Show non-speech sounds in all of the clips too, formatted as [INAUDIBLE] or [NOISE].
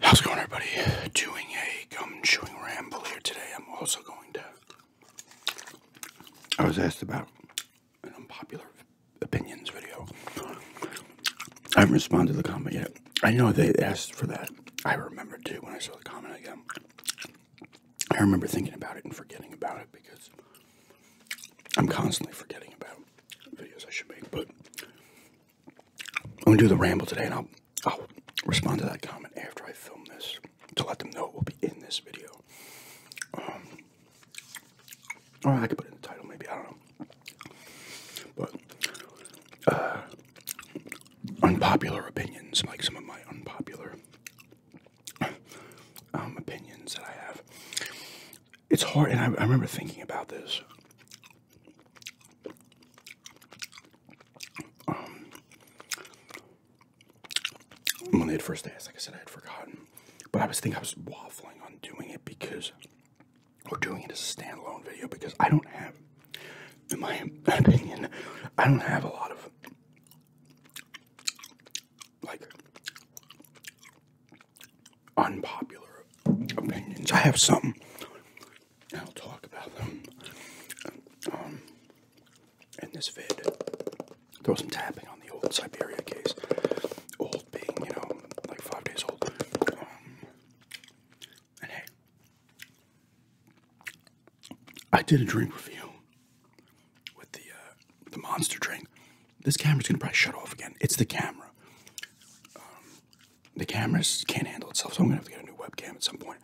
How's it going, everybody? Doing a gum chewing ramble here today. I'm also going to. I was asked about an unpopular opinions video. I haven't responded to the comment yet. I know they asked for that. I remember too when I saw the comment again. I remember thinking about it and forgetting about it because I'm constantly forgetting about videos I should make, but I'm gonna do the ramble today, and I'll respond to that comment after I film this to let them know it will be in this video. Um, I could put it in the title, maybe I don't know. But uh, unpopular opinions, like some of my unpopular um, opinions that I have. It's hard, and I remember thinking about this um, I when they had first asked, like I said, I had forgotten, but I was thinking I was waffling on doing it because, we're doing it as a standalone video because I don't have, in my [LAUGHS] opinion, I don't have a lot of like unpopular opinions. I have some, I'll talk about them um, in this vid. Throw some tapping on the old Siberia case. Old being, you know, like five days old. Um, and hey, I did a drink review with the uh, the monster drink. This camera's gonna probably shut off again. It's the camera. Um, the cameras can't handle itself, so I'm gonna have to get a new webcam at some point.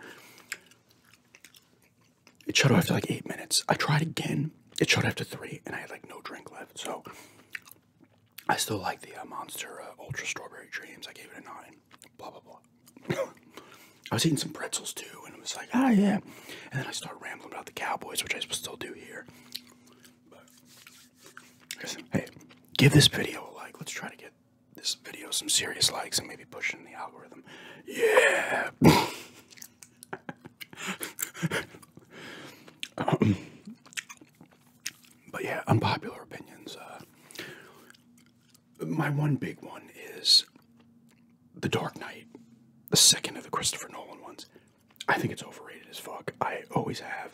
It shut off after like eight minutes. I tried again. It shut off after three, and I had like no drink left. So I still like the uh, Monster uh, Ultra Strawberry Dreams. I gave it a nine. Blah blah blah. [LAUGHS] I was eating some pretzels too, and it was like, ah yeah. And then I start rambling about the Cowboys, which I still do here hey, give this video a like. Let's try to get this video some serious likes and maybe push in the algorithm. Yeah. [LAUGHS] Um, but yeah, unpopular opinions. Uh, my one big one is The Dark Knight, the second of the Christopher Nolan ones. I think it's overrated as fuck. I always have.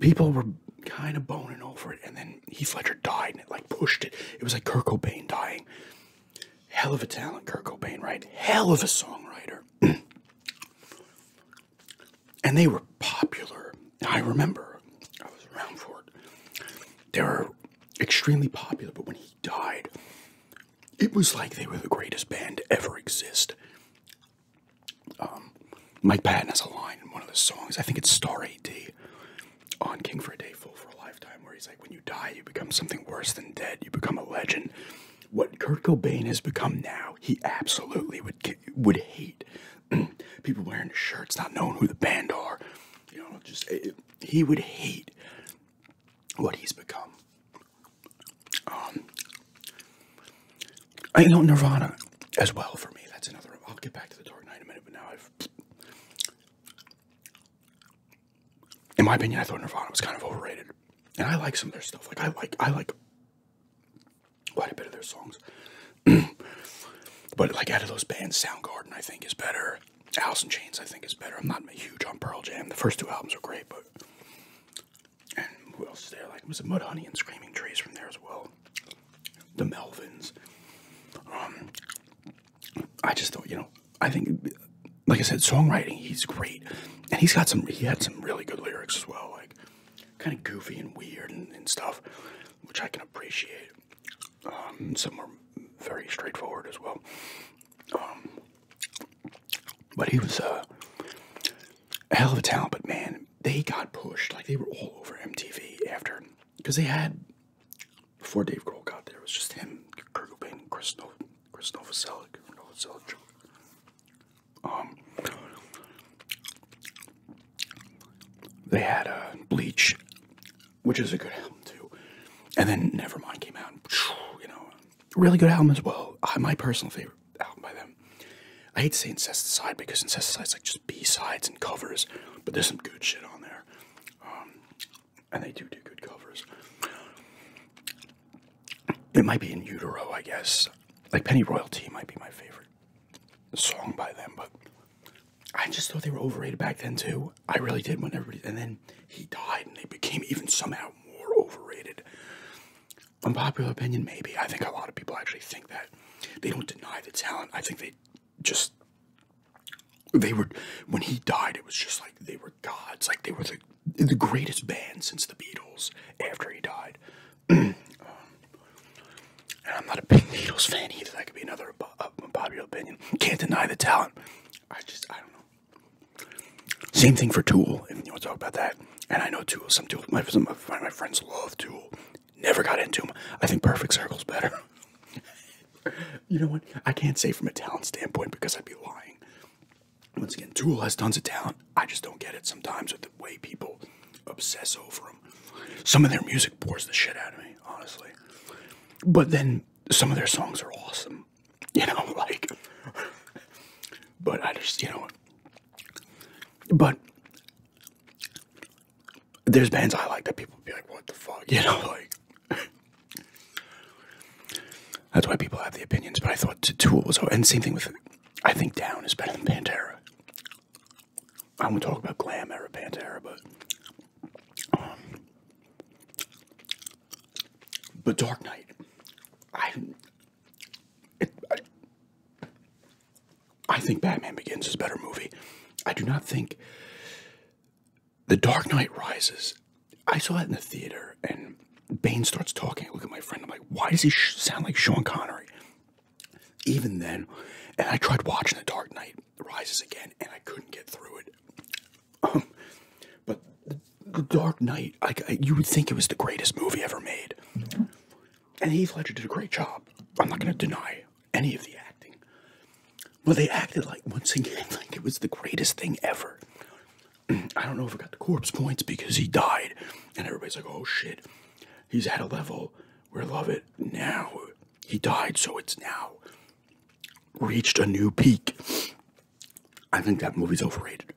People were kind of boning over it, and then he Ledger died, and it like pushed it. It was like Kurt Cobain dying. Hell of a talent, Kurt Cobain, right? Hell of a songwriter. [CLEARS THROAT] and they were popular. I remember I was around for it. They were extremely popular, but when he died, it was like they were the greatest band to ever exist. Um, Mike Patton has a line in one of the songs. I think it's Star AD on King for a Day, Full for a Lifetime, where he's like, when you die, you become something worse than dead. You become a legend. What Kurt Cobain has become now, he absolutely would would hate. [CLEARS THROAT] People wearing shirts, not knowing who the band are. You know, just he would hate what he's become. Um, I know Nirvana as well for me. That's another. I'll get back to the Dark Knight in a minute, but now I've. In my opinion, I thought Nirvana was kind of overrated, and I like some of their stuff. Like I like I like quite a bit of their songs, [CLEARS THROAT] but like out of those bands, Soundgarden I think is better. Alice in Chains I think is better. I'm not huge on Pearl Jam. The first two albums are great, but and who else is there? Like was it Mudhoney and Screaming Trees from there as well? The Melvins. Um, I just thought, you know, I think, like I said, songwriting, he's great, and he's got some. He had some really good lyrics as well, like kind of goofy and weird and, stuff, which I can appreciate. Um, some are very straightforward as well. Um, but he was a hell of a talent. But man, they got pushed like they were all over MTV after because they had before Dave Grohl got there. It was just him, Kurt Cobain, Chris, no, Chris Novoselic, Novoselic. Um, they had a uh, Bleach, which is a good album too, and then Nevermind came out. And, you know, really good album as well. Uh, my personal favorite album by them. I hate to say Incesticide because is like just B-sides and covers, but there's some good shit on there. Um, and they do do good covers. It might be in utero, I guess. Like Penny Royalty might be my favorite song by them, but I just thought they were overrated back then too. I really did when everybody, and then he died and they became even somehow more overrated unpopular opinion, maybe. I think a lot of people actually think that they don't deny the talent. I think they just they were when he died. It was just like they were gods. Like they were the the greatest band since the Beatles. After he died, [CLEARS THROAT] and I'm not a big Beatles fan either. That could be another uh, unpopular opinion. Can't deny the talent. I just I don't know. Same thing for Tool. If you want to talk about that, and I know Tool. Some Tool. some of my friends love Tool. Never got into them. I think Perfect Circle's better. [LAUGHS] you know what? I can't say from a talent standpoint because I'd be lying. Once again, Tool has tons of talent. I just don't get it sometimes with the way people obsess over them. Some of their music pours the shit out of me, honestly. But then some of their songs are awesome, [LAUGHS] you know, like. But I just, you know, but there's bands I like that people be like, what the fuck? [LAUGHS] You know, like that's why people have the opinions. But I thought Tool was, and same thing with, I think Down is better than Pantera. I'm gonna talk about glam era Pantera, but um, but Dark Knight, I I, think Batman Begins is a better movie. I do not think The Dark Knight Rises. I saw that in the theater, and Bane starts talking. I look at my friend. I'm like, why does he sound like Sean Connery? Even then, and I tried watching The Dark Knight Rises again, and I couldn't get through it. Um, but the, the Dark Knight, like you would think it was the greatest movie ever made. And Heath Ledger did a great job. I'm not going to deny any of the acting. But they acted like, once again, [LAUGHS] like it was the greatest thing ever. [CLEARS THROAT] I don't know if I got the corpse points because he died. And everybody's like, oh shit, he's at a level where love it now. He died, so it's now reached a new peak. I think that movie's overrated.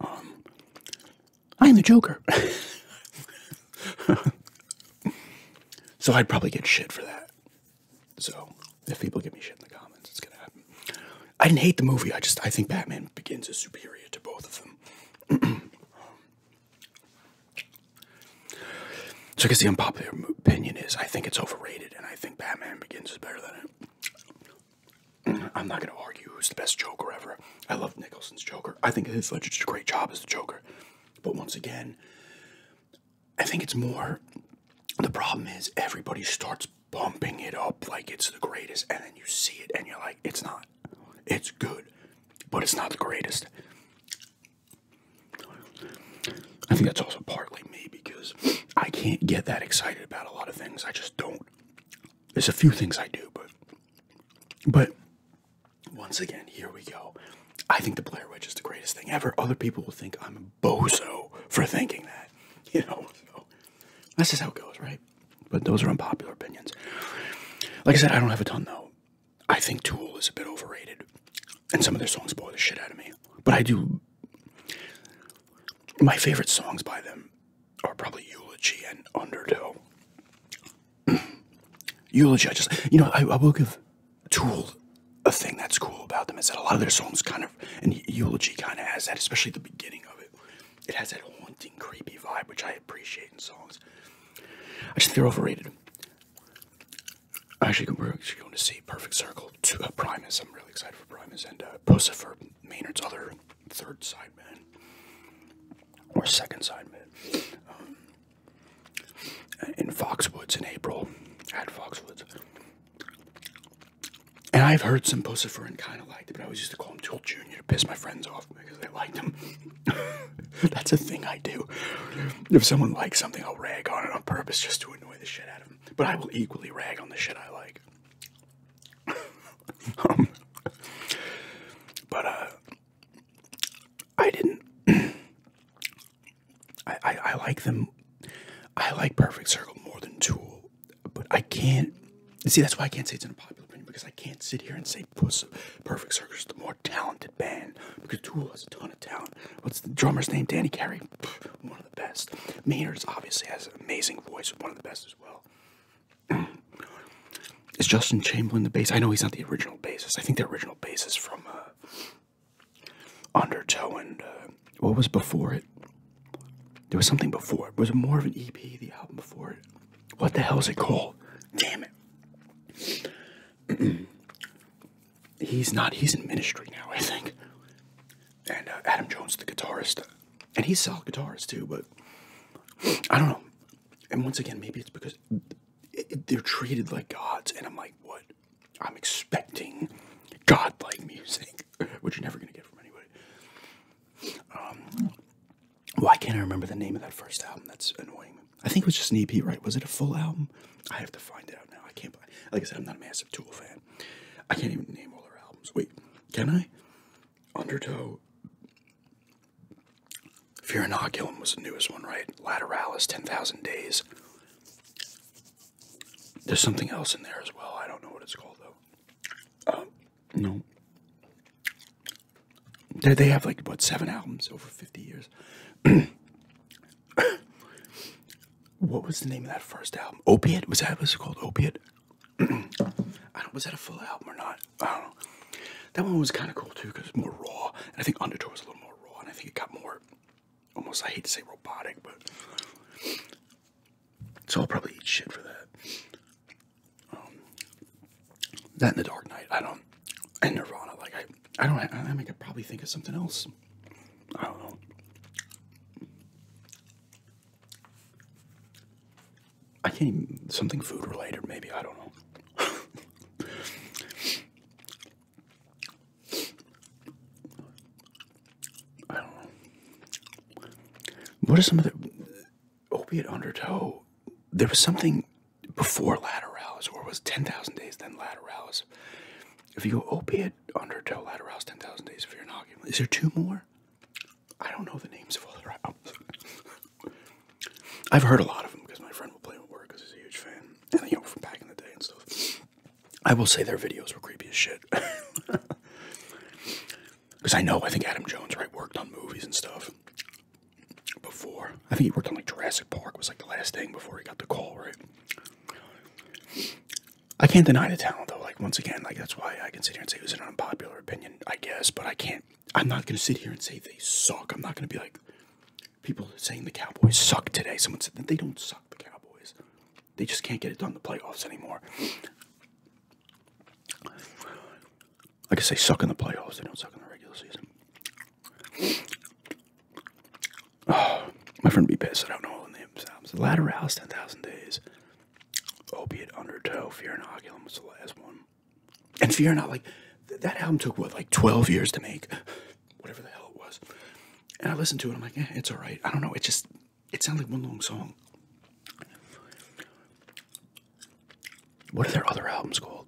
Um, I am the Joker. [LAUGHS] so I'd probably get shit for that. So if people give me shit in the comments, it's gonna happen. I didn't hate the movie. I just I think Batman Begins is superior to both of them. [CLEARS THROAT] so I guess the unpopular opinion is I think it's overrated, and I think Batman Begins is better than it. I'm not going to argue who's the best Joker ever. I love Nicholson's Joker. I think his Ledger did a great job as the Joker. But once again, I think it's more the problem is everybody starts pumping it up like it's the greatest, and then you see it and you're like, it's not. It's good, but it's not the greatest. I think that's also partly me because I can't get that excited about a lot of things. I just don't. There's a few things I do, but but once again, here we go. I think the Blair Witch is the greatest thing ever. Other people will think I'm a bozo for thinking that. [LAUGHS] You know, so that's just how it goes, right? But those are unpopular opinions. Like I said, I don't have a ton though. I think Tool is a bit overrated, and some of their songs bore the shit out of me. But I do. My favorite songs by them or probably Eulogy and Undertow. [CLEARS THROAT] Eulogy, I just, you know, I, will give Tool a thing that's cool about them is that a lot of their songs kind of, and Eulogy kind of has that, especially the beginning of it. It has that haunting, creepy vibe, which I appreciate in songs. I just they're overrated. Actually, we're going to see Perfect Circle to uh, Primus. I'm really excited for Primus and uh, for Maynard's other third sideman or second sideman um, in Foxwoods in April at Foxwoods. And I've heard some and kind of liked it, but I always used to call him Tool Jr. to piss my friends off because they liked him. [LAUGHS] That's a thing I do. If someone likes something, I'll rag on it on purpose just to annoy the shit out of them. But I will equally rag on the shit I like. [LAUGHS] Um, but uh, I didn't. [CLEARS THROAT] I, I I like them. I like Perfect Circle more than Tool, but I can't. See, that's why I can't say it's an unpopular opinion because I can't sit here and say Puss Perfect Circle is the more talented band because Tool has a ton of talent. What's the drummer's name? Danny Carey, one of the best. Maynard's obviously has an amazing voice, one of the best as well. [CLEARS THROAT] Is Justin Chamberlain the bass? I know he's not the original bassist. I think the original bass is from uh, Undertow and uh, what was before it? There was something before it. Was it more of an EP, the album before it? What the hell is it called? Damn it. [CLEARS THROAT] he's not, he's in ministry now, I think. And uh, Adam Jones, the guitarist, and he solid guitars too, but I don't know. And once again, maybe it's because they're treated like gods, and I'm like, what? I'm expecting godlike music, [LAUGHS] which you're never gonna get from anybody. Um, why can't I remember the name of that first album? That's annoying. I think it was just an EP, right? Was it a full album? I have to find out now. I can't. Like I said, I'm not a massive Tool fan. I can't even name all their albums. Wait, can I? Undertow. Fear Inoculum was the newest one, right? Lateralis, 10,000 Days. There's something else in there as well. I don't know what it's called, though. Um, no. They, they have, like, what, seven albums over 50 years? [COUGHS] what was the name of that first album? Opiate? Was that what it called? Opiate? was that a full album or not? That one was kind of cool too because it's more raw. And I think Undertow was a little more raw, and I think it got more almost, I hate to say robotic, but. So I'll probably eat shit for that. Um, that and the Dark Knight, I don't. And Nirvana, like I, I don't. I, I, mean, I could probably think of something else. I don't know. I can't even, something food related, maybe, I don't know. I don't know. What are some of the opiate undertow? There was something before lateralis, or was 10,000 days, then lateralis. If you go opiate undertow, lateralis, 10,000 days, if you're not, is there two more? I don't know the names of all their albums. I've heard a lot of them because my friend will play them work because he's a huge fan. And, you know, from back in the day and stuff. I will say their videos were creepy as shit. Because [LAUGHS] I know, I think Adam Jones, right, worked on movies and stuff before. I think he worked on, like, Jurassic Park was, like, the last thing before he got the call, right? I can't deny the talent, though. Like, once again, like, that's why I can sit here and say it was an unpopular opinion, I guess, but I can't I'm not going to sit here and say they suck. I'm not going to be like people saying the Cowboys suck today. Someone said that they don't suck, the Cowboys. They just can't get it done the playoffs anymore. Like I say, suck in the playoffs. They don't suck in the regular season. [SIGHS] my friend B. Piss. I don't know all the names. The Ladder 10,000 Days. Opiate Undertow, Fear and Inoculum was the last one. And Fear and Not, like, that album took, what, like 12 years to make? Whatever the hell it was. And I listened to it, I'm like, eh, it's alright. I don't know, it just, it sounds like one long song. What are their other albums called?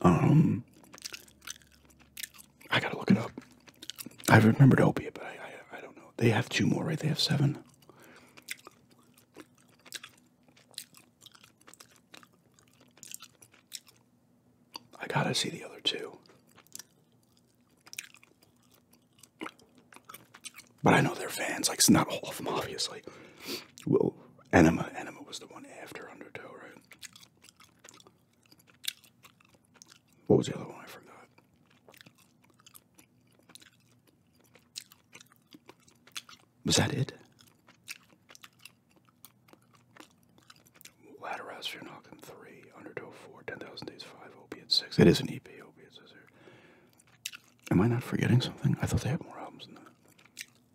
Um, I gotta look it up. I remembered Opiate, but I, I don't know. They have two more, right? They have seven. I gotta see the other two. But I know they're fans, like, it's not all of them, obviously. Well, Enema, Enema was the one after Undertow, right? What was the other one? I forgot. Was that it? Ladder Rouse, Knockin' 3, Undertow Days 5, Opiate 6. It is an EP, Opiate 6. Am I not forgetting something? I thought they had more albums than that.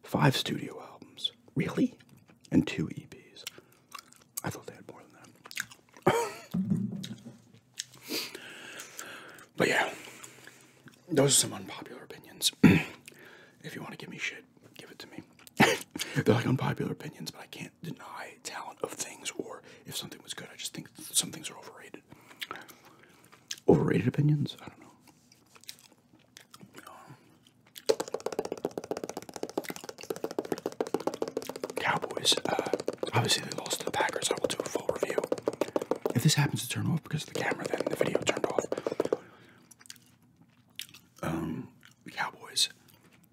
Five studio albums. Really? And two EPs. I thought they had more than that. But yeah, those are some unpopular opinions. [CLEARS THROAT] if you want to give me shit, give it to me. [LAUGHS] They're like unpopular opinions, but I can't deny talent of things or if something was good. I just think some things are overrated. Overrated opinions? I don't know. Cowboys. Uh, obviously, they lost to the Packers. I will do a full review. If this happens to turn off because of the camera, then the video turned off. Um, Cowboys,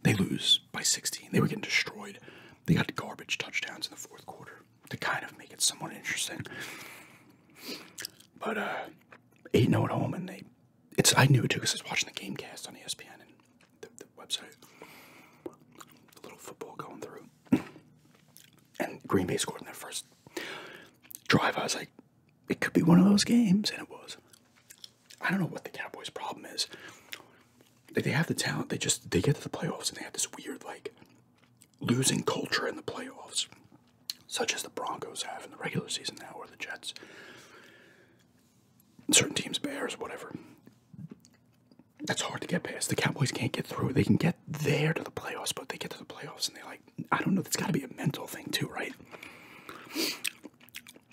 they lose by 16. They were getting destroyed. They got garbage touchdowns in the fourth quarter to kind of make it somewhat interesting. But uh, 8 0 at home, and they. It's I knew it too because I was watching the game cast on ESPN, and website. A little football going through. And Green Bay scored in their first drive. I was like, it could be one of those games. And it was. I don't know what the Cowboys' problem is. Like, they have the talent. They just, they get to the playoffs and they have this weird, like, losing culture in the playoffs. Such as the Broncos have in the regular season now, or the Jets. Certain teams, Bears, whatever that's hard to get past. The Cowboys can't get through. They can get there to the playoffs, but they get to the playoffs and they like I don't know, that's gotta be a mental thing too, right?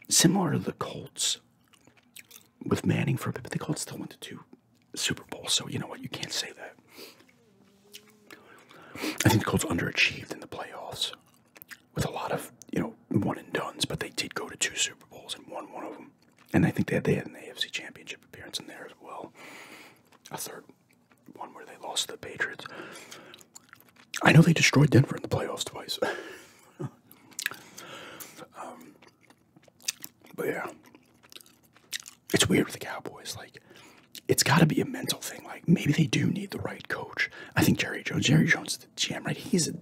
Similar to the Colts with Manning for a bit, but the Colts still went to two Super Bowls, so you know what, you can't say that. I think the Colts underachieved in the playoffs with a lot of, you know, one and dones, but they did go to two Super Bowls and won one of them and I think they had, they had an AFC Championship appearance in there as well. A third one where they lost to the Patriots. I know they destroyed Denver in the playoffs twice. [LAUGHS] Um, but yeah, it's weird with the Cowboys. Like, it's got to be a mental thing. Like, maybe they do need the right coach. I think Jerry Jones. Jerry Jones is the GM, right? He's a,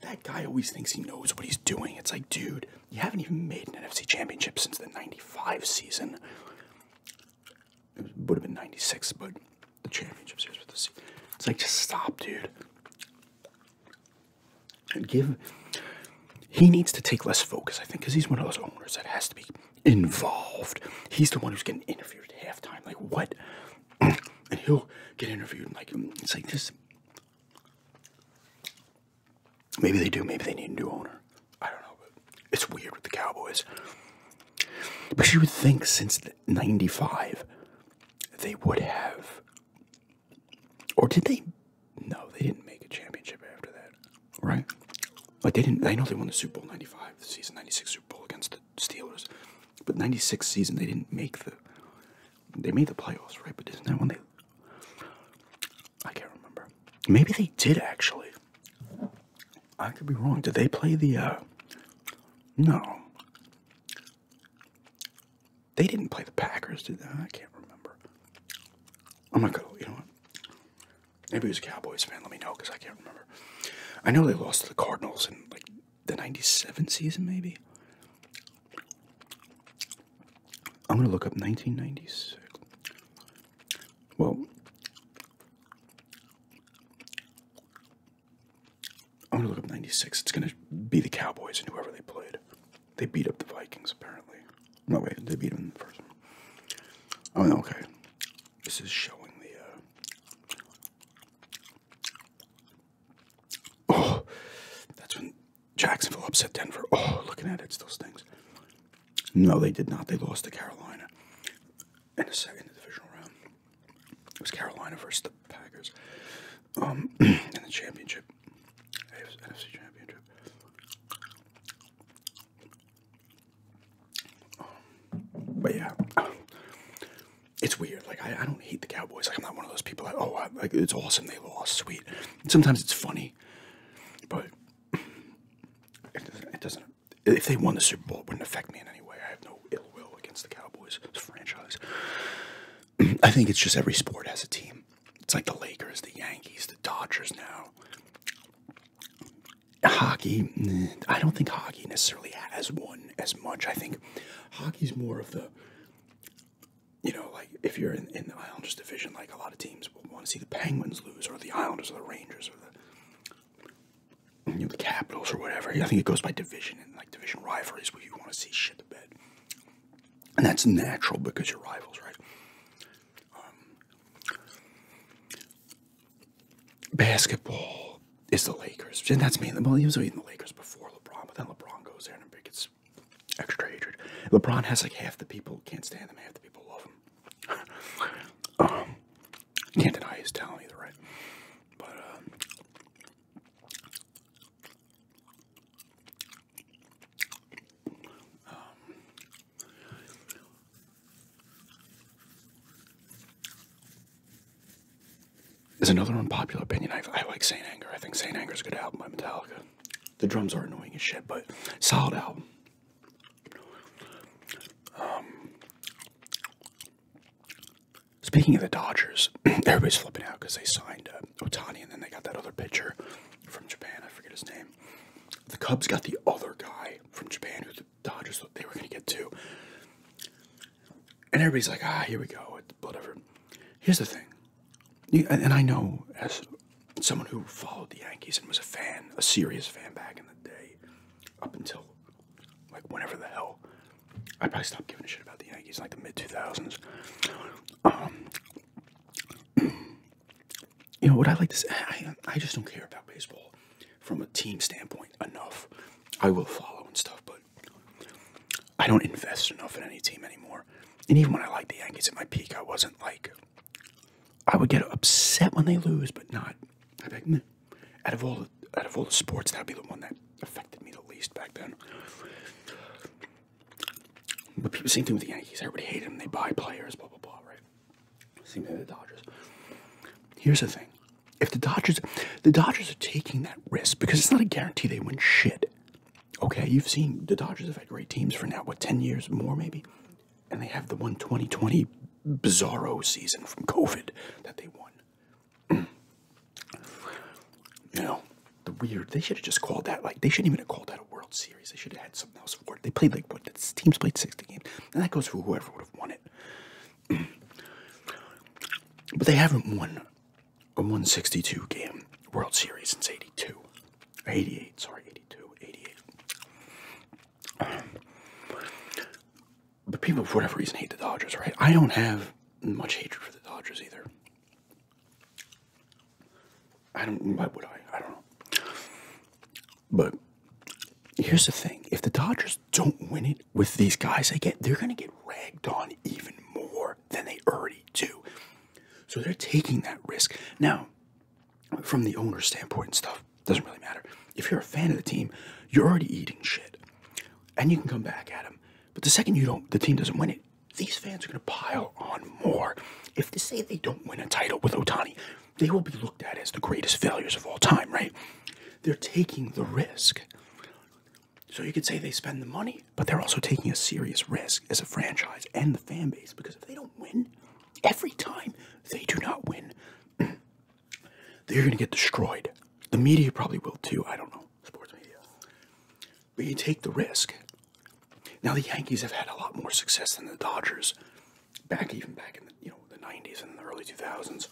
that guy always thinks he knows what he's doing. It's like, dude, you haven't even made an NFC championship since the 95 season. It would have been 96, but the championship series with this. It's like, just stop, dude. and Give. He needs to take less focus, I think, because he's one of those owners that has to be involved. He's the one who's getting interviewed at halftime. Like, what? [CLEARS THROAT] and he'll get interviewed. and Like, it's like, just Maybe they do. Maybe they need a new owner. I don't know, but it's weird with the Cowboys. But you would think since '95 they would have, or did they? No, they didn't make a championship after that, right? Like they didn't. I know they won the Super Bowl '95, the season '96 Super Bowl against the Steelers, but '96 season they didn't make the. They made the playoffs, right? But isn't that when they I can't remember. Maybe they did actually. I could be wrong. Did they play the uh No. They didn't play the Packers, did they? I can't remember. I'm not gonna you know what? Maybe he was a Cowboys fan, let me know because I can't remember. I know they lost to the Cardinals in like the ninety seven season maybe. I'm gonna look up 1996. Well, I'm gonna look up 96. It's gonna be the Cowboys and whoever they played. They beat up the Vikings, apparently. No, wait, they beat them first Oh, okay. This is showing the. Uh, oh, that's Jacksonville upset Denver. Oh, looking at it, it still stings. No, they did not. They lost to Carolina in the second divisional round. It was Carolina versus the Packers um, [CLEARS THROAT] in the championship, NFC championship. Um, but yeah, [CLEARS THROAT] it's weird. Like I, don't hate the Cowboys. Like I'm not one of those people that oh like it's awesome they lost, sweet. sometimes it's funny but it doesn't, If they won the Super Bowl, it wouldn't affect me in any way. I have no ill will against the Cowboys franchise. [CLEARS THROAT] I think it's just every sport has a team. It's like the Lakers, the Yankees, the Dodgers now. Hockey, I don't think hockey necessarily has won as much. I think hockey's more of the you know, like if you're in, the Islanders division, like a lot of teams will want to see the Penguins lose, or the Islanders, or the Rangers, or the you know, the Capitals, or whatever. I think it goes by division and like division rivalries where you want to see shit the bed, and that's natural because you're rivals, right? Um, basketball is the Lakers, and that's mainly The he was even the Lakers before LeBron, but then LeBron goes there and it gets it's extra hatred. LeBron has like half the people can't stand him, half the people love him. [LAUGHS] Um, can't deny his talent right? But um, um there's another unpopular opinion. I, I like Saint Anger. I think Saint Anger is a good album by Metallica. The drums are annoying as shit, but solid album. Um, speaking of the Dodgers, [CLEARS THROAT] everybody's flipping out because they signed uh, Otani and then they got that other pitcher from Japan. I forget his name. The Cubs got the other guy from Japan who the Dodgers thought they were going to get too. And everybody's like, ah, here we go, whatever. Here's the thing and I know as someone who followed the Yankees and was a fan, a serious fan back in the day, up until like whenever the hell I probably stopped giving a shit about the Yankees like the mid two thousands. Um, you know what I like to say? I, I just don't care about baseball from a team standpoint enough. I will follow and stuff, but I don't invest enough in any team anymore. And even when I liked the Yankees at my peak, I wasn't like, I would get upset when they lose, but not. out of all the, out of all the sports, that'd be the one that affected me the least back then. But people, same thing with the Yankees. Everybody hated them. They buy players, blah blah blah. Right. Same thing with the Dodgers. Here's the thing: if the Dodgers, the Dodgers are taking that risk because it's not a guarantee they win shit. Okay, you've seen the Dodgers have had great teams for now, what, 10 years more maybe? And they have the one 2020 bizarro season from COVID that they won. [CLEARS THROAT] you know, the weird, they should have just called that, like, they shouldn't even have called that a World Series. They should have had something else for it. They played, like, what, the teams played 60 games. And that goes for whoever would have won it. [CLEARS THROAT] but they haven't won a 162 game World Series since 82. 88, sorry, 82, 88. Um, but people, for whatever reason, hate the Dodgers, right? I don't have much hatred for the Dodgers either. I don't, why would I? I don't know. But here's the thing if the Dodgers don't win it with these guys they get, they're going to get ragged on even more than they already do. So they're taking that risk. Now, from the owner's standpoint and stuff, doesn't really matter. If you're a fan of the team, you're already eating shit. And you can come back at them. But the second you don't, the team doesn't win it, these fans are going to pile on more. If they say they don't win a title with Otani, they will be looked at as the greatest failures of all time, right? They're taking the risk. So you could say they spend the money, but they're also taking a serious risk as a franchise and the fan base because if they don't win, every time they do not win, [CLEARS THROAT] they're going to get destroyed. The media probably will too. I don't know. Sports media. But you take the risk. Now, the Yankees have had a lot more success than the Dodgers back even back in the, you know, the 90s and the early 2000s.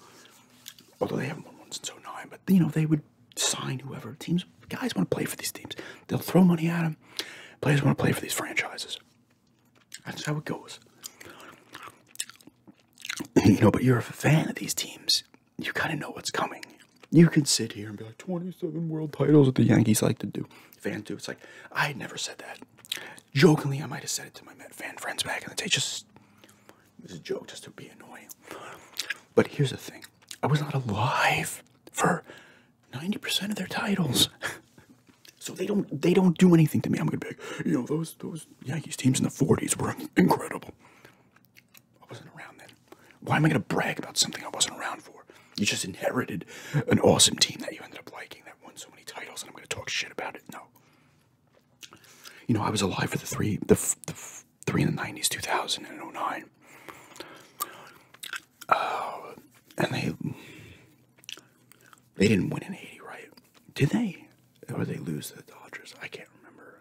Although they haven't won one since 09, but you know, they would sign whoever. Teams Guys want to play for these teams. They'll throw money at them. Players want to play for these franchises. That's how it goes. you [CLEARS THROAT] know, but you're a fan of these teams. You kind of know what's coming. You can sit here and be like, 27 world titles What the Yankees like to do. Fan do. It's like, I never said that. Jokingly, I might have said it to my fan friends back in the day. Just, this a joke just to be annoying. But here's the thing. I was not alive for 90% of their titles. [LAUGHS] so they don't they don't do anything to me. I'm gonna be you know, those those Yankees teams in the 40s were incredible. I wasn't around then. Why am I gonna brag about something I wasn't around for? You just inherited an awesome team that you ended up liking that won so many titles, and I'm gonna talk shit about it. No. You know, I was alive for the three the, the three in the 90s, 2000 and 09. Oh, and they they didn't win in '80, right? Did they? Or they lose the Dodgers? I can't remember.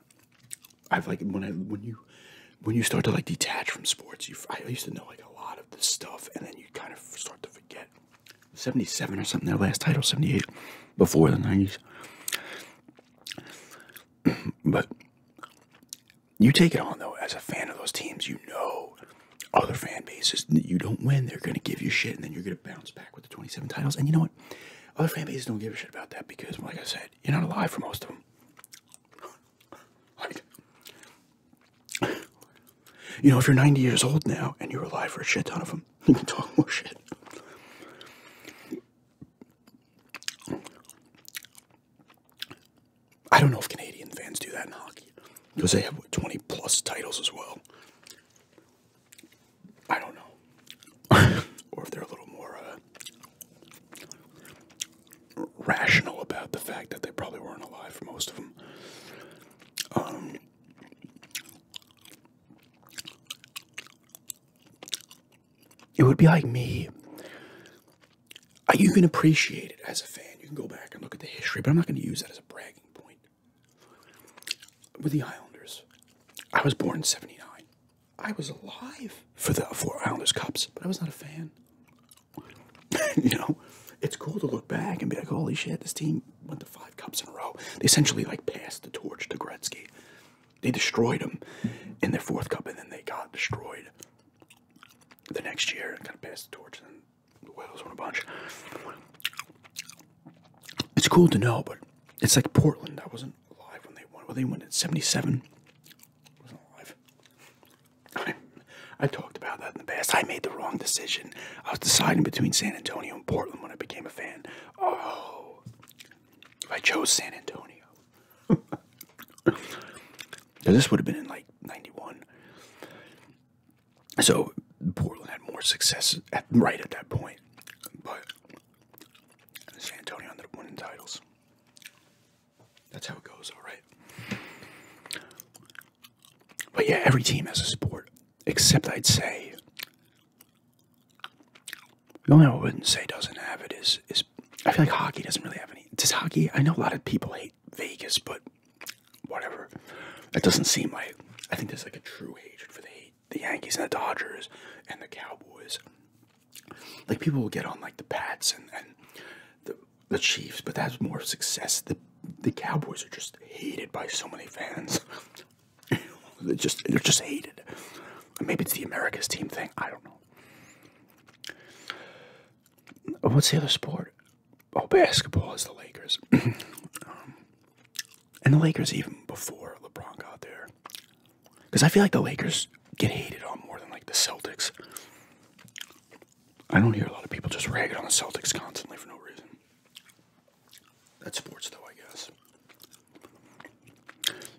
I've like when I when you when you start to like detach from sports, you I used to know like a lot of this stuff, and then you kind of start to forget. Seventy-seven or something, their last title, seventy-eight, before the nineties. [CLEARS THROAT] but you take it on though as a fan of those teams. You know other fan bases. You don't win, they're gonna give you shit, and then you're gonna bounce back with the 27 titles. And you know what? Other fan bases don't give a shit about that because, like I said, you're not alive for most of them. [LAUGHS] [SIGHS] you know, if you're 90 years old now and you're alive for a shit ton of them, [LAUGHS] you can talk more shit. I don't know if Canadian fans do that in hockey because they have 20 plus titles as well. I don't know. [LAUGHS] or if they're a little more uh, rational about the fact that they probably weren't alive for most of them. Um, it would be like me you can appreciate it as a fan. You can go back and look at the history, but I'm not going to use that as a bragging point. With the Islanders, I was born in '79. I was alive for the four Islanders Cups, but I was not a fan. [LAUGHS] you know, it's cool to look back and be like, "Holy shit, this team went to five cups in a row." They essentially like passed the torch to Gretzky. They destroyed them in their fourth cup, and then they got destroyed the next year kind of passed the torch and the Wales won a bunch. It's cool to know, but it's like Portland. I wasn't alive when they won. Well, they won in 77. I talked about that in the past. I made the wrong decision. I was deciding between San Antonio and Portland when I became a fan. Oh, I chose San Antonio. [LAUGHS] this would have been in like 91. So Portland had more success right at that point. But San Antonio ended up winning titles. That's how it goes, all right. But yeah, every team has a sport, except I'd say the only one I wouldn't say doesn't have it is is I feel like hockey doesn't really have any. Does hockey? I know a lot of people hate Vegas, but whatever. That doesn't seem like. I think there's like a true hatred for the the Yankees and the Dodgers and the Cowboys. Like people will get on like the Pats and, and the the Chiefs, but that's more success. The the Cowboys are just hated by so many fans. [LAUGHS] they're just they're just hated. Maybe it's the America's team thing. I don't know. What's the other sport? Oh, basketball is the Lakers. [CLEARS THROAT] Um, and the Lakers, even before LeBron got there, because I feel like the Lakers get hated on more than like the Celtics. I don't hear a lot of people just ragging on the Celtics constantly for no reason. That's sports, though, I guess.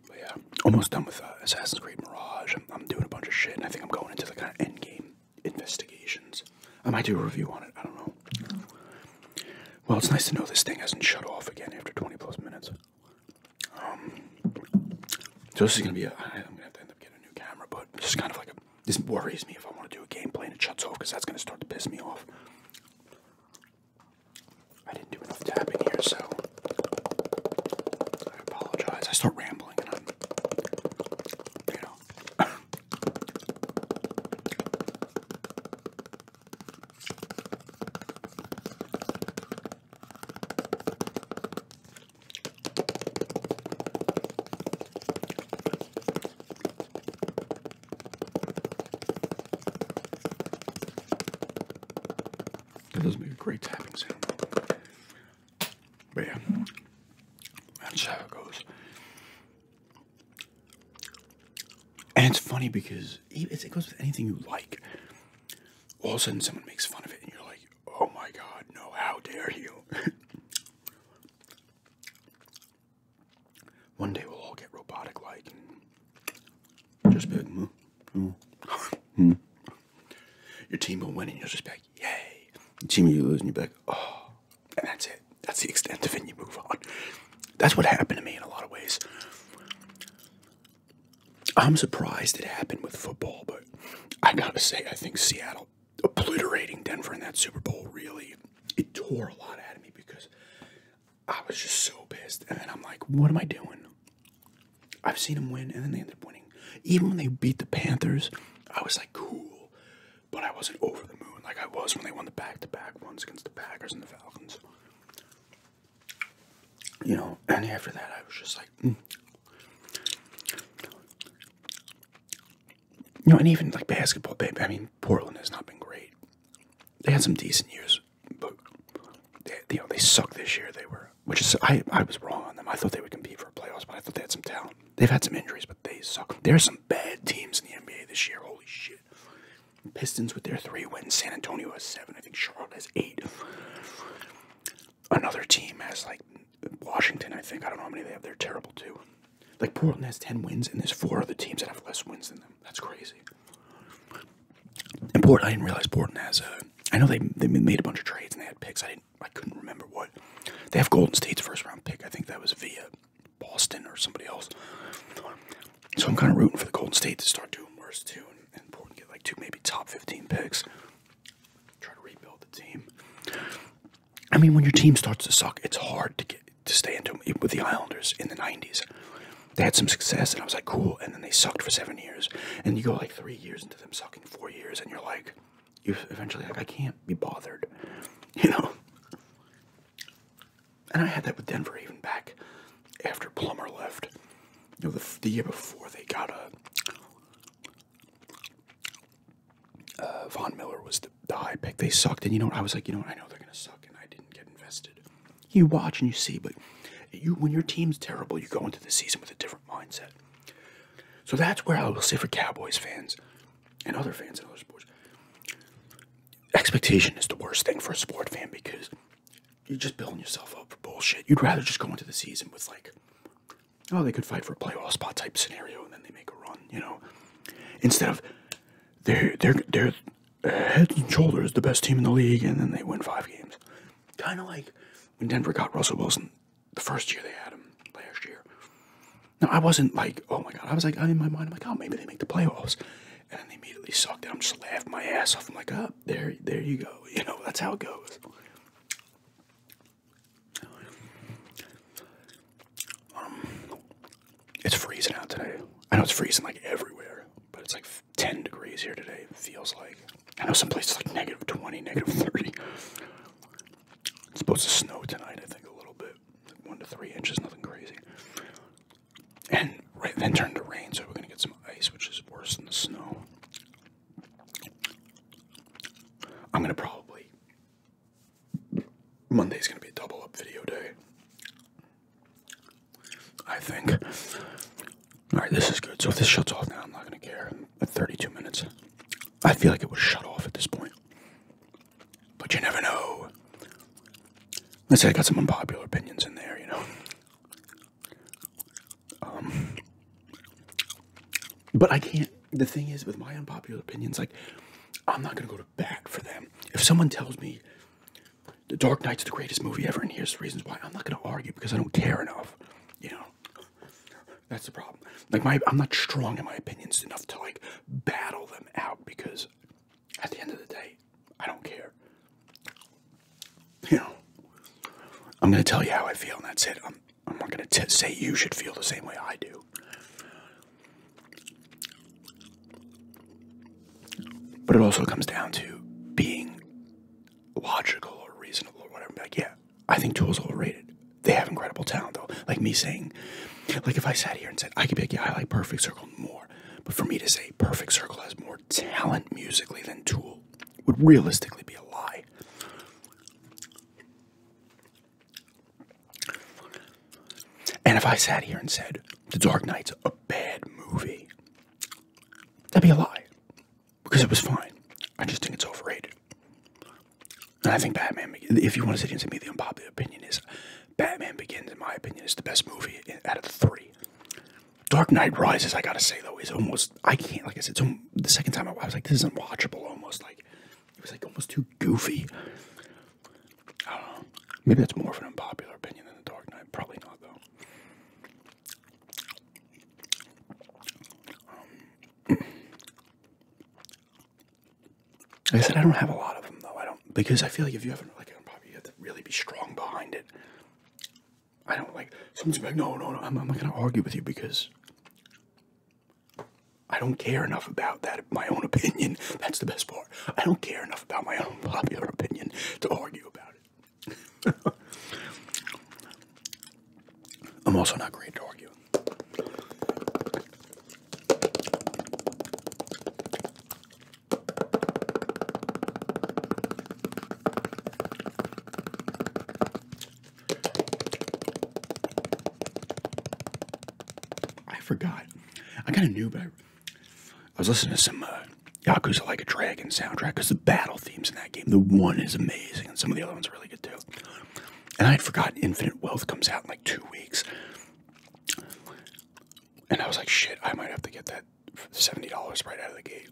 But yeah, almost done with uh, Assassin's Creed Mirage. I'm, I'm doing a bunch of shit, and I think I'm going into the kind of end game investigations. I might do a review on it. I don't know. Well, it's nice to know this thing hasn't shut off again after 20 plus minutes. Um, so this is gonna be a. I'm gonna have to end up getting a new camera, but this is kind of like a. This worries me if I want to do a gameplay and it shuts off because that's gonna start to piss me off. I didn't do enough tapping here, so I apologize. I start rambling and I'm, you know. That does make a great tapping sound. But yeah, that's how it goes. And it's funny because it goes with anything you like. All of a sudden, someone makes fun of it, and you're like, oh my god, no, how dare you! [LAUGHS] One day we'll all get robotic like just be like, mm, mm, [LAUGHS] mm. Your team will win, and you'll just be like, yay. The team you lose, and you'll be like, oh. And that's it. That's the extent of it, and you move on. That's what happened to me in a lot of ways. I'm surprised it happened with football, but I gotta say, I think Seattle obliterating Denver in that Super Bowl really it tore a lot out of me because I was just so pissed. And I'm like, what am I doing? I've seen them win, and then they ended up winning. Even when they beat the Panthers, I was like cool, but I wasn't over the moon like I was when they won the back-to-back ones against the Packers and the Falcons. You know, and after that, I was just like, mm. you know, and even like basketball, I mean, Portland has not been great. They had some decent years, but they, they sucked this year. They were, which is I, I was wrong on them. I thought they would compete for playoffs, but I thought they had some talent. They've had some injuries, but they suck. There's some bad teams in the NBA this year. Holy shit. Pistons with their three wins. San Antonio has seven. I think Charlotte has eight. Another team has like Washington, I think. I don't know how many they have. They're terrible too. Like Portland has 10 wins, and there's four other teams that have less wins than them. That's crazy. And Portland, I didn't realize Portland has a. Uh, I know they, they made a bunch of trades and they had picks. I didn't I couldn't remember what. They have Golden State's first round pick. I think that was via Boston or somebody else. So I'm kind of rooting for the Golden State to start doing worse too, and, Portland get like two maybe top 15 picks. Try to rebuild the team. I mean, when your team starts to suck, it's hard to get to stay into them. With the Islanders in the 90s, they had some success, and I was like, cool. And then they sucked for seven years, and you go like three years into them sucking four years, and you're like you eventually like I can't be bothered, [LAUGHS] you know. And I had that with Denver even back after Plummer left. You know, the, the year before they got a uh, uh, Von Miller was the, high pick. They sucked, and you know I was like, you know what? I know they're gonna suck, and I didn't get invested. You watch and you see, but you when your team's terrible, you go into the season with a different mindset. So that's where I will say for Cowboys fans and other fans in other sports, expectation is the worst thing for a sport fan because you're just building yourself up for bullshit. You'd rather just go into the season with like, oh, they could fight for a playoff spot type scenario, and then they make a run, you know, instead of they're they're they're uh, head and shoulders the best team in the league, and then they win five games. Kind of like when Denver got Russell Wilson the first year they had him last year. Now I wasn't like, oh my god. I was like, in my mind, I'm like, oh, maybe they make the playoffs, and they immediately sucked. And I'm just laughing my ass off. I'm like, oh, there, there you go. [LAUGHS] You know, that's how it goes. Um, it's freezing out today. I know it's freezing like everywhere, but it's like 10 degrees here today. feels like I know some places like negative 20, negative 30. It's supposed to snow tonight, I think, a little bit. one to three inches, nothing crazy. And right then turn to rain, so we're gonna get some ice, which is worse than the snow. I'm gonna probably Monday's gonna be a double up video day. I think. Alright, this is good. So if this shuts off now, I'm not gonna care at 32 minutes. I feel like it was shut off at this point. But you never know. Let's say I got some unpopular opinions in there, you know. Um, but I can't. The thing is, with my unpopular opinions, like, I'm not going to go to bat for them. If someone tells me The Dark Knight's the greatest movie ever and here's the reasons why, I'm not going to argue because I don't care enough, you know. That's the problem. Like my, I'm not strong in my opinions enough to like battle them out because at the end of the day, I don't care. You know, I'm gonna tell you how I feel, and that's it. I'm, not gonna say you should feel the same way I do. But it also comes down to being logical or reasonable or whatever. Like, yeah, I think Tool's overrated. They have incredible talent, though. Like me saying, like if I sat here and said, I could pick, like, I like Perfect Circle more. But for me to say Perfect Circle has more talent musically than Tool would realistically be a lie. And if I sat here and said, The Dark Knight's a bad movie, that'd be a lie. Because it was fine. I just think it's overrated. And I think Batman, if you want to sit and say the unpopular opinion is Batman Begins, in my opinion, is the best movie out of the three. Dark Knight Rises, I gotta say though, is almost I can't like I said. So the second time I, I was like, this is unwatchable. Almost like it was like almost too goofy. Maybe that's more of an unpopular opinion than the Dark Knight. Probably not though. Um, I said, I don't have a lot of them though. I don't because I feel like if you have like a probably you have to really be strong behind it. I don't like someone's like no no no I'm, I'm not gonna argue with you because I don't care enough about that my own opinion. [LAUGHS] That's the best part. I don't care enough about my own [LAUGHS] popular opinion to argue about it. [LAUGHS] I'm also not great to argue. I forgot. I kind of knew, but I, was listening to some uh, Yakuza Like a Dragon soundtrack because the battle themes in that game, the one is amazing, and some of the other ones are really good too. And I had forgotten Infinite Wealth comes out in like two weeks. And I was like, shit, I might have to get that $70 right out of the gate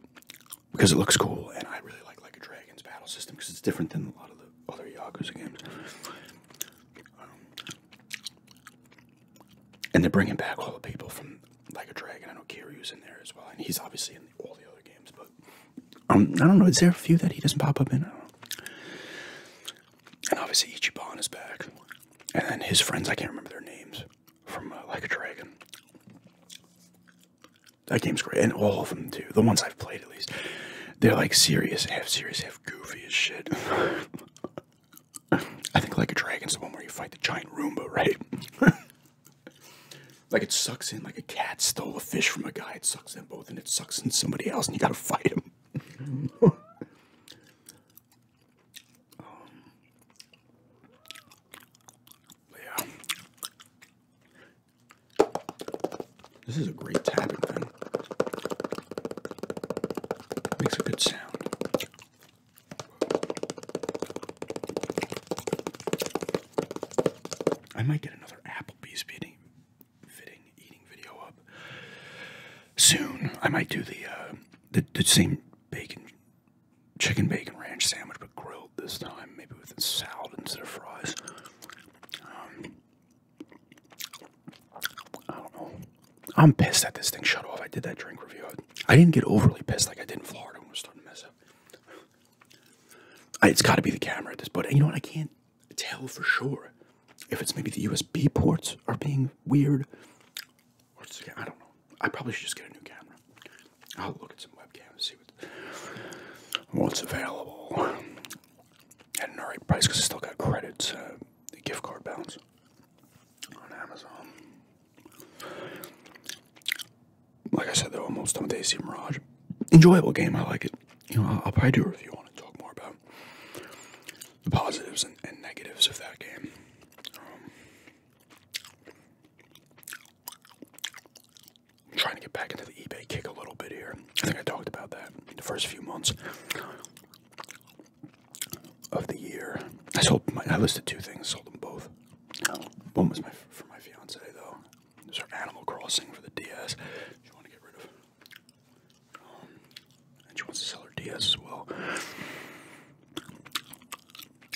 because it looks cool. And I really like Like a Dragon's battle system because it's different than a lot of the other Yakuza games. Um, and they're bringing back all the people from Like a Dragon. I know Kiryu's in there as well. And he's obviously in all the other games, but um, I don't know. Is there a few that he doesn't pop up in? And obviously Ichiban is back, and then his friends. I can't remember their names from uh, Like a Dragon. That game's great, and all of them too. The ones I've played, at least, they're like serious, half serious, half goofy as shit. [LAUGHS] I think Like a Dragon's the one where you fight the giant Roomba, right? [LAUGHS] like it sucks in like a cat stole a fish from a guy. It's sucks them both and it sucks in somebody else and you gotta fight him. Um, yeah. This is a great tapping thing. Makes a good sound. I might get another Applebee's beanie fitting eating video up soon. I might do uh, the the, same bacon chicken bacon ranch sandwich, but grilled this time, maybe with a salad instead of fries. Um, I don't know. I'm pissed that this thing shut off. I did that drink review. I didn't get overly pissed like I did in Florida when we were starting to mess up. it's got to be the camera at this, but you know what? I can't tell for sure if it's maybe the USB ports are being weird. Or it's, I don't know. I probably should just get a new camera. I'll look at some webcams, see what's available at an alright price because I still got credits, the uh, gift card balance on Amazon. Like I said, though, almost done with AC Mirage. Enjoyable game, I like it you know, I'll, probably do a review on it and talk more about the positives and, negatives of that game. Um, I'm trying to get back into the eBay kick a little bit here. I think I talked about that the first few months of the year. I sold my, I listed two things, sold them both. One was my for my fiance though. Those are Animal Crossing for the DS. Which you want to get rid of. Um, and she wants to sell her DS as well.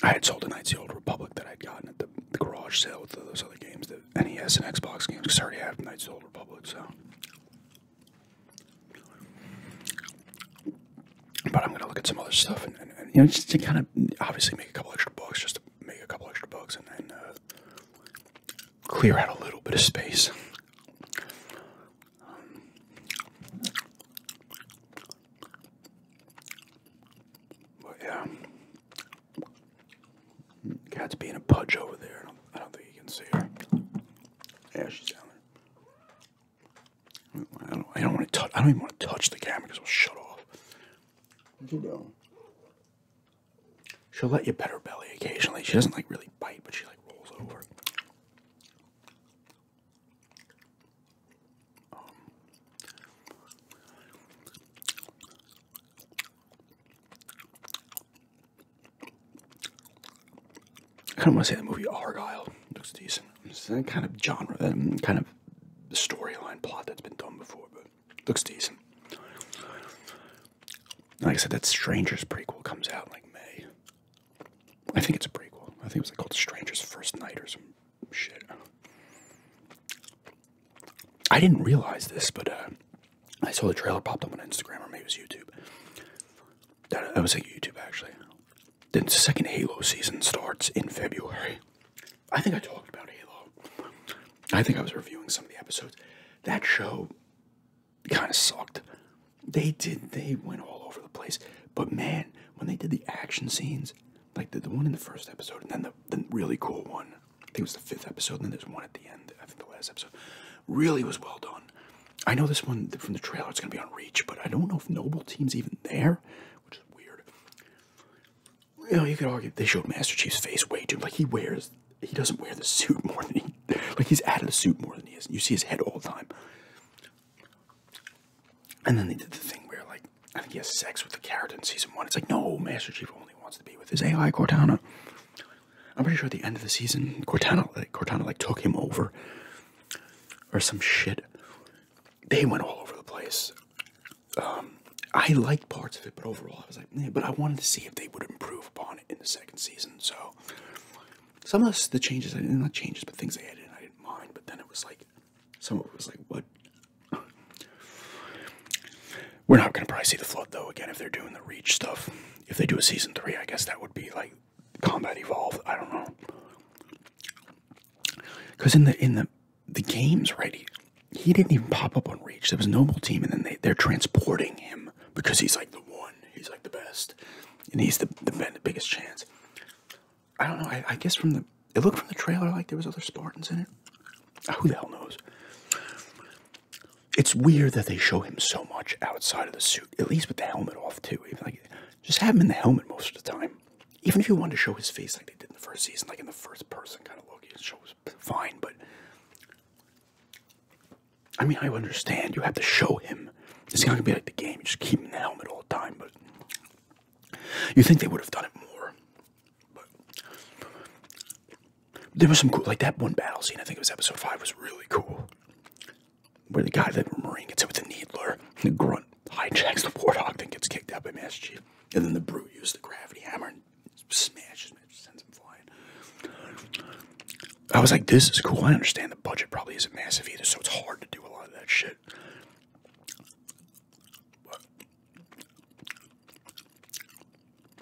I had sold a Knights of Old Republic that I'd gotten at the, garage sale with those other games, the NES and Xbox games, because I already have Knights of Old Republic, so. But I'm going to look at some other stuff and, you know, just to kind of obviously make a couple extra bucks, just to make a couple extra bucks and, then. uh, clear out a little bit of space. But yeah, cat's being a pudge over there. I don't, think you can see her. Yeah, she's down there. I don't. I don't want to touch. I don't even want to touch the camera because it'll shut off. where you go? She'll let you pet her belly occasionally. She doesn't like really bite, but she like rolls over. Um, I kind of want to say the movie Argyle looks decent. It's that kind of genre, that kind of storyline plot that's been done before, but Looks decent. Like I said, that Strangers prequel comes out like May. I think it's a prequel. I think it was like called Strangers First Night or some shit. I didn't realize this, but uh, I saw the trailer popped up on Instagram or maybe it was YouTube. That, that was like YouTube actually. Then second Halo season starts in February. I think I talked about Halo. I think I was reviewing some of the episodes. That show kind of sucked. They did. They went all over the place. But man, when they did the action scenes, like the, the one in the first episode, and then the, really cool one, I think it was the fifth episode, and then there's one at the end. I think the last episode really was well done. I know this one from the trailer. It's gonna be on Reach, but I don't know if Noble Team's even there, which is weird. You you could argue they showed Master Chief's face way too. Like he wears he doesn't wear the suit more than he like he's out of the suit more than he is. You see his head all the time. And then they did the thing where like I think he has sex with the carrot in season one. It's like no, Master Chief only wants to be with his AI Cortana. I'm pretty sure at the end of the season, Cortana like Cortana like took him over or some shit. They went all over the place. Um, I liked parts of it, but overall I was like, yeah, but I wanted to see if they would improve upon it in the second season. So some of the changes, I didn't not changes, but things they added, I didn't mind. But then it was like, someone was like, what? We're not gonna probably see the flood though. Again, if they're doing the Reach stuff, if they do a season three, I guess that would be like Combat Evolved. I don't know. Because in the in the the games, right? He, didn't even pop up on Reach. There was Noble Team, and then they they're transporting him because he's like the one. He's like the best, and he's the the biggest chance. I don't know. I, guess from the it looked from the trailer like there was other Spartans in it. Ah, who the hell knows? It's weird that they show him so much outside of the suit, at least with the helmet off too. Even like, just have him in the helmet most of the time. Even if you wanted to show his face like they did in the first season, like in the first person kind of look, it shows fine. But I mean, I understand you have to show him. It's not gonna be like the game, you just keep him in the helmet all the time. But you think they would have done it more? But there was some cool, like that one battle scene. I think it was episode five was really cool, where the guy that Marine gets hit with the needler, and the grunt hijacks the warthog, then gets kicked out by Master Chief, and then the brute uses the gravity hammer smashes me, sends him flying. I was like, this is cool. I understand the budget probably isn't massive either, so it's hard to do a lot of that shit.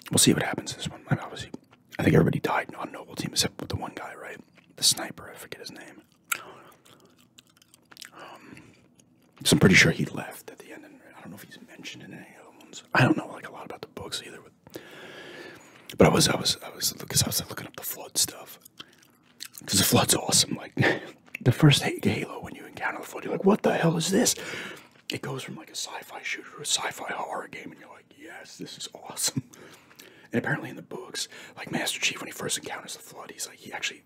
we'll see what happens this one. I obviously, I think everybody died on Noble Team except with the one guy, right? The sniper, I forget his name. Um, I'm pretty sure he left at the end, I don't know if he's mentioned in any other ones. I don't know like a lot about the books either. But I was, I was, I was, because I was looking up the flood stuff. Because the flood's awesome. Like [LAUGHS] the first Halo, when you encounter the flood, you're like, "What the hell is this?" It goes from like a sci-fi shooter a sci-fi horror game, and you're like, "Yes, this is awesome." And apparently, in the books, like Master Chief, when he first encounters the flood, he's like, he actually,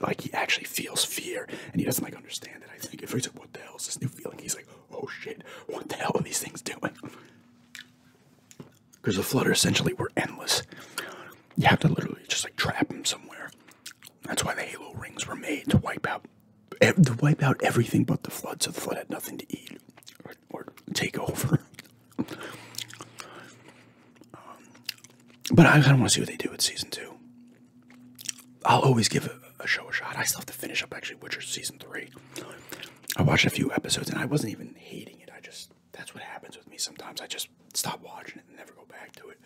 like, he actually feels fear, and he doesn't like understand it. I think at first, like, "What the hell is this new feeling?" He's like, oh shit, what the hell are these things doing? Because the flutter essentially were endless. You have to literally just like trap them somewhere. That's why the Halo rings were made to wipe out, to wipe out everything but the flood, so the flood had nothing to eat or, take over. [LAUGHS] Um, but I kind of want to see what they do with season two. I'll always give a, show a shot. I still have to finish up actually Witcher season three. I watched a few episodes and I wasn't even hating it. I just that's what happens with me sometimes. I just stop watching it and never go back to it.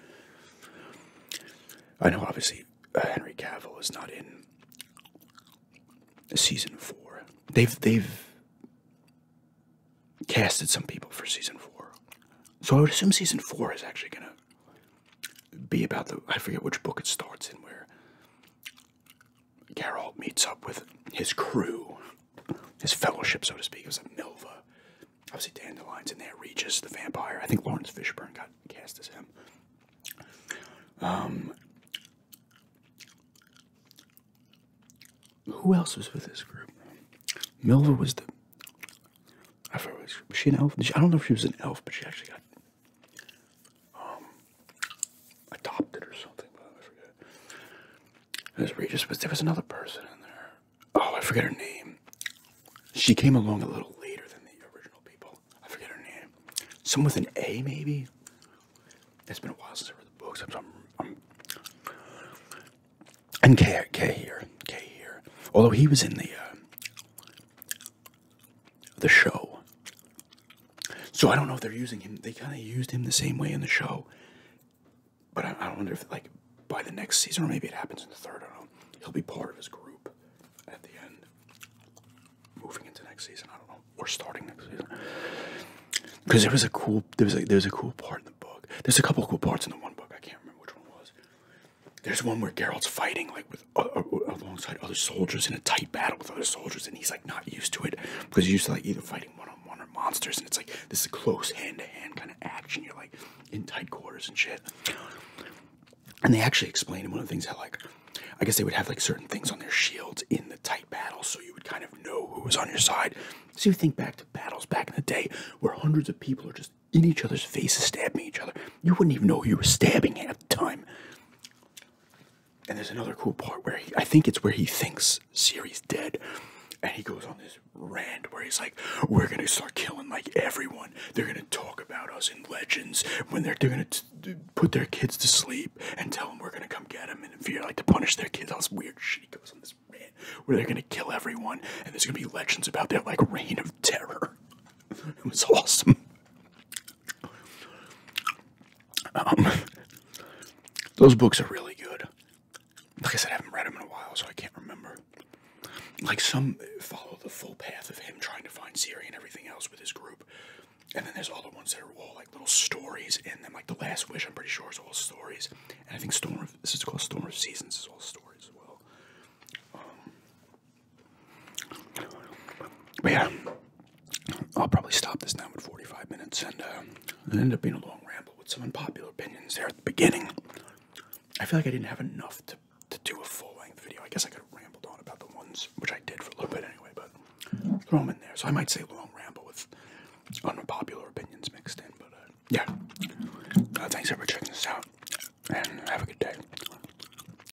I know obviously uh, Henry Cavill is not in season four. They've they've casted some people for season four, so I would assume season four is actually gonna be about the I forget which book it starts in where Geralt meets up with his crew, his fellowship, so to speak. It was a Milva. Obviously, Dandelion's in there, Regis, the vampire. I think Lawrence Fishburne got cast as him. Um, who else was with this group? Milva was the. I forget, was she an elf? I don't know if she was an elf, but she actually got um, adopted or something, I forget. It was Regis, but there was another person in there. Oh, I forget her name. She came along a little later than the original people. I forget her name. Someone with an A, maybe? It's been a while since I read the books. I'm, i and K, here, K here. Although he was in the uh, the show. So I don't know if they're using him. They kind of used him the same way in the show, but I, I wonder if like by the next season or maybe it happens in the third. I don't know. He'll be part of his group at the end, moving into next season. I don't know. Or starting next season. Because there was a cool there was a, there was a cool part in the book. There's a couple cool parts in the one book. I can't remember which one was. There's one where Geralt's fighting like with uh, uh, alongside other soldiers in a tight battle with other soldiers, and he's like not used to it because he's used to like either fighting one on one or monsters, and it's like this is a close hand to hand kind of action. You're like in tight quarters and shit. And they actually explained one of the things that like I guess they would have like certain things on their shields in the tight battle, so you would kind of know who was on your side. So you think back to battles back in the day where hundreds of people are just in each other's faces, stabbing each other. You wouldn't even know who you were stabbing half the time. And there's another cool part where he, I think it's where he thinks Siri's dead. And he goes on this rant where he's like, We're going to start killing like everyone. They're going to talk about us in legends when they're, going to put their kids to sleep and tell them we're going to come get them and if you're like to punish their kids. All this weird shit. He goes on this rant where they're going to kill everyone and there's going to be legends about their like reign of terror. [LAUGHS] it was awesome. Um, those books are really good. Like I said, I haven't read them in a while, so I can't remember. Like some follow the full path of him trying to find Zirri and everything else with his group. And then there's all the ones that are all like little stories in them. Like The Last Wish, I'm pretty sure, is all stories. And I think Storm of, this is called Storm of Seasons, is all stories as well. Um, but yeah, I'll probably stop this now at 45 minutes and uh, it ended up being a long ramble with some unpopular opinions there at the beginning. I feel like I didn't have enough to, to do a full length video. I guess I could have rambled on about the ones, which I did for a little bit anyway, but throw them in there. So I might say a long ramble with unpopular opinions mixed in, but uh, yeah. Uh, thanks for checking this out and have a good day.